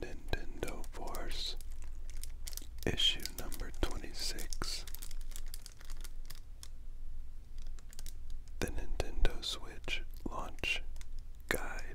Nintendo Force, issue number 26. The Nintendo Switch Launch Guide.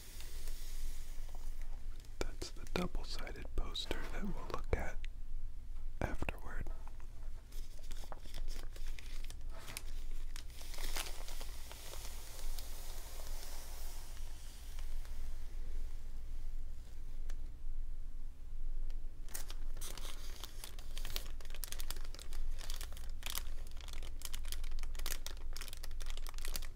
That's the double sided poster that we'll look at afterward.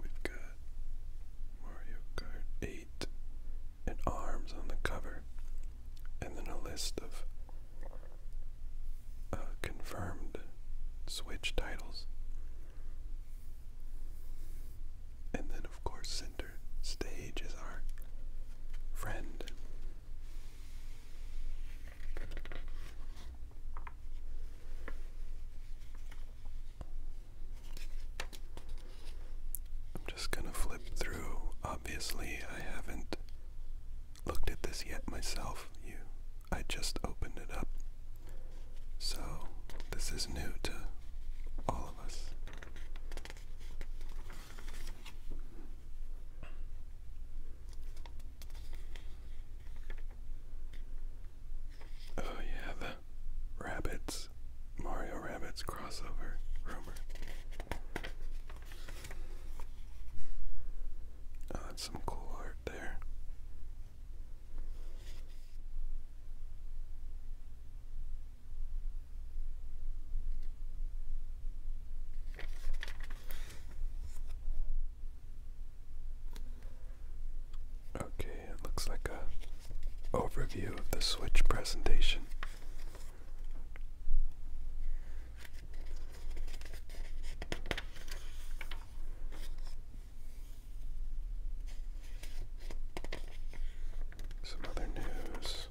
We've got Mario Kart 8 and ARMS on the cover, and then a list of uh, confirmed Switch titles. And then, of course, since center stage is our friend. I'm just going to flip through. Obviously, I haven't looked at this yet myself. You I just opened it up. So, this is new to all of us. Oh, yeah, the Rabbits, Mario Rabbits crossover rumor. Oh, that's some cool art there. Okay, it looks like a overview of the switch presentation. Some other news.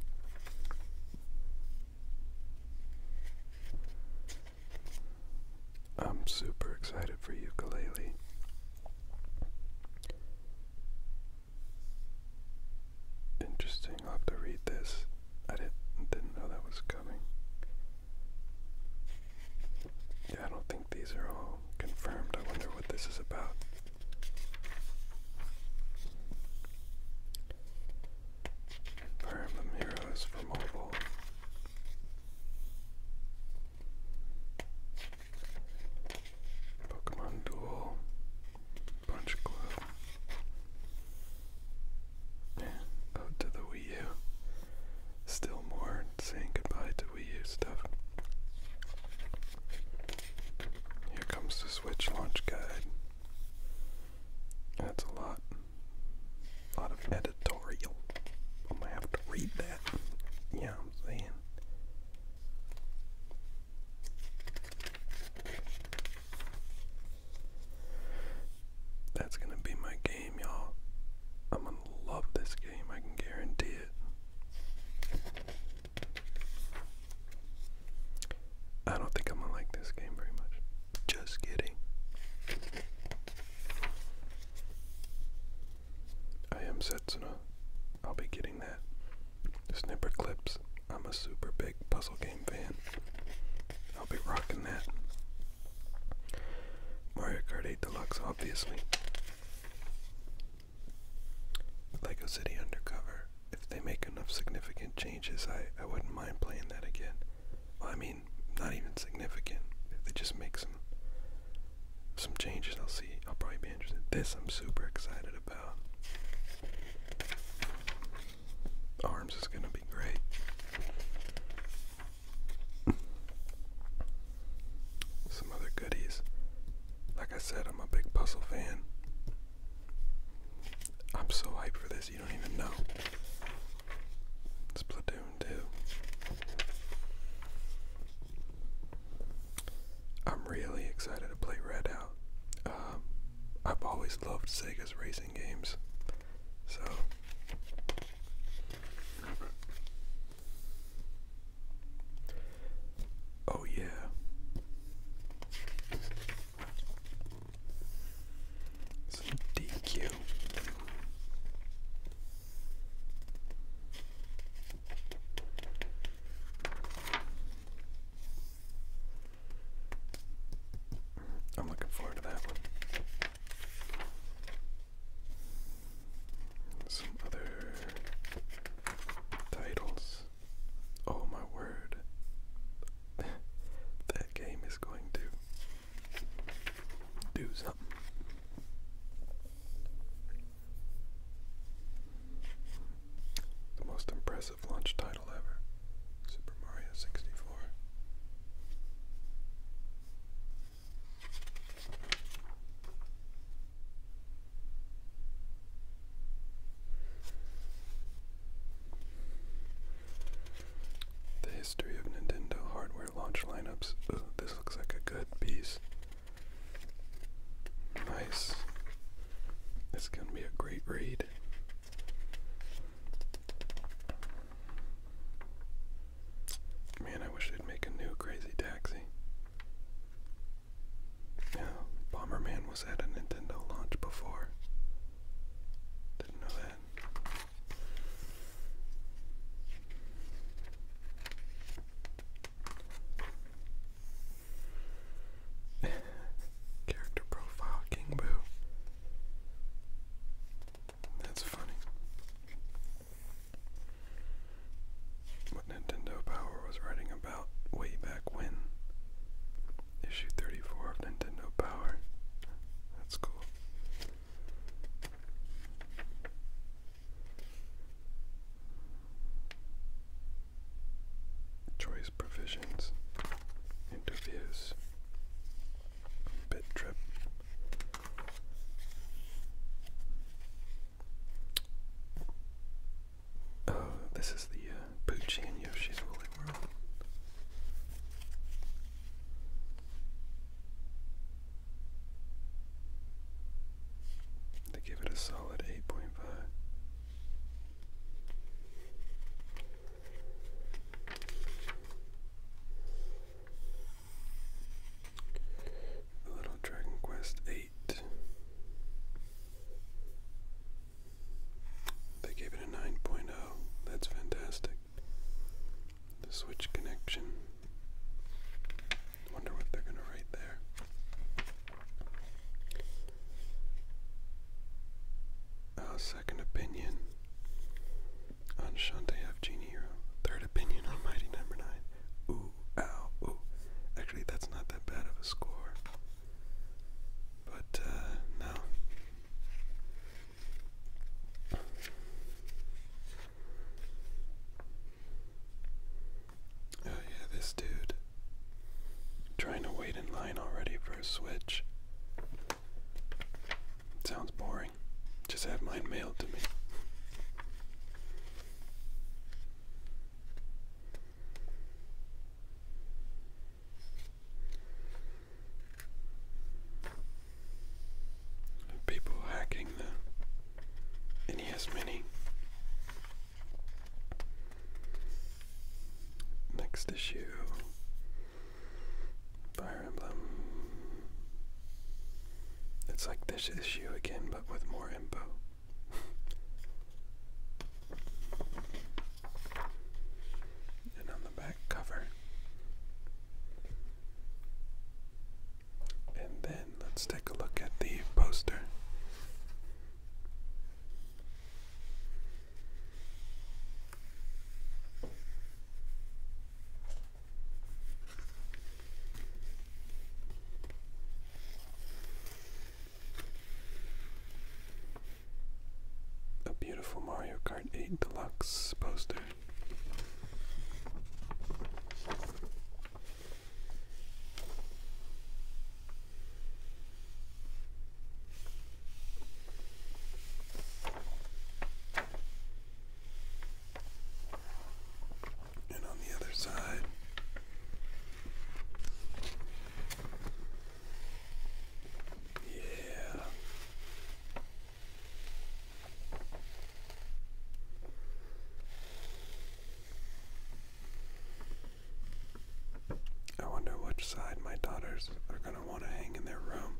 I'm super excited for ukulele. Interesting, i have to read this. I didn't didn't know that was coming. Yeah, I don't think these are all Confirmed. I wonder what this is about. Fire Emblem Heroes for mobile. Pokemon Duel. Punch Glove. Yeah, out to the Wii U. Still more saying goodbye to Wii stuff. Here comes the Switch launch guide. That's a lot. A lot of editorial. I'm gonna have to read that. Yeah, I'm saying. That's gonna be my game, y'all. I'm gonna love this game, I can guarantee it. I don't think I'm gonna like this game very much. Just kidding. I am Setsuna. I'll be getting that. Snipper clips. I'm a super big puzzle game fan. I'll be rocking that. Mario Kart 8 Deluxe, obviously. Lego City Undercover. If they make enough significant changes, I, I wouldn't mind playing that again. I mean, not even significant. If they just make some some changes, I'll see. I'll probably be interested. This I'm super excited about. Arms is gonna be great some other goodies. Like I said, I'm a big puzzle fan. I'm so hyped for this, you don't even know. Splatoon 2. I'm really excited to play Redout. Um, I've always loved Sega's racing games. So Oh, yeah. Some DQ. I'm looking forward to that one. Some other titles. Oh my word. that game is going to do something. The most impressive launch title ever Super Mario 64. The history of Nintendo hardware launch lineups. this looks like a good piece. Nice. It's gonna be a great read. Man, I wish they'd make a new Crazy Taxi. Yeah, Bomberman was at a Nintendo launch before. Didn't know that. Character profile King Boo. That's funny what Nintendo Power was writing about way back when. Issue 34 of Nintendo Power. That's cool. Choice provisions, interviews, bit trip. Oh, this is the uh, Poochie and Yoshi's Woolly World. They give it a solid 8.5. The Little Dragon Quest Eight. They gave it a 9.0. That's fantastic. The Switch connection. Wonder what they're gonna write there. Uh, second opinion on Shantae F Genie Third opinion on Mighty Number Nine. Ooh ow, Actually, that's not that bad of a score. But, uh, no. Oh, yeah, this dude. Trying to wait in line already for a switch. Sounds boring. Just have mine mailed to me. People hacking the NES Mini. Next issue. Fire Emblem. It's like this issue again, but with more info. and on the back cover. And then let's take a look at the poster. A beautiful Mario Kart 8 Deluxe poster. And on the other side. Yeah. I wonder which side my daughters are going to want to hang in their room.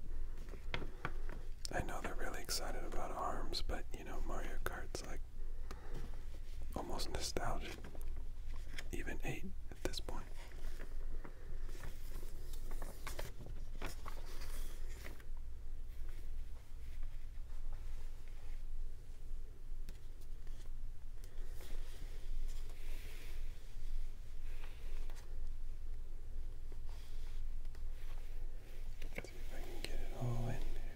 I know they're really excited about arms, but you know, Mario Kart's like almost nostalgic. Even 8 at this point. See if I can get it all in there.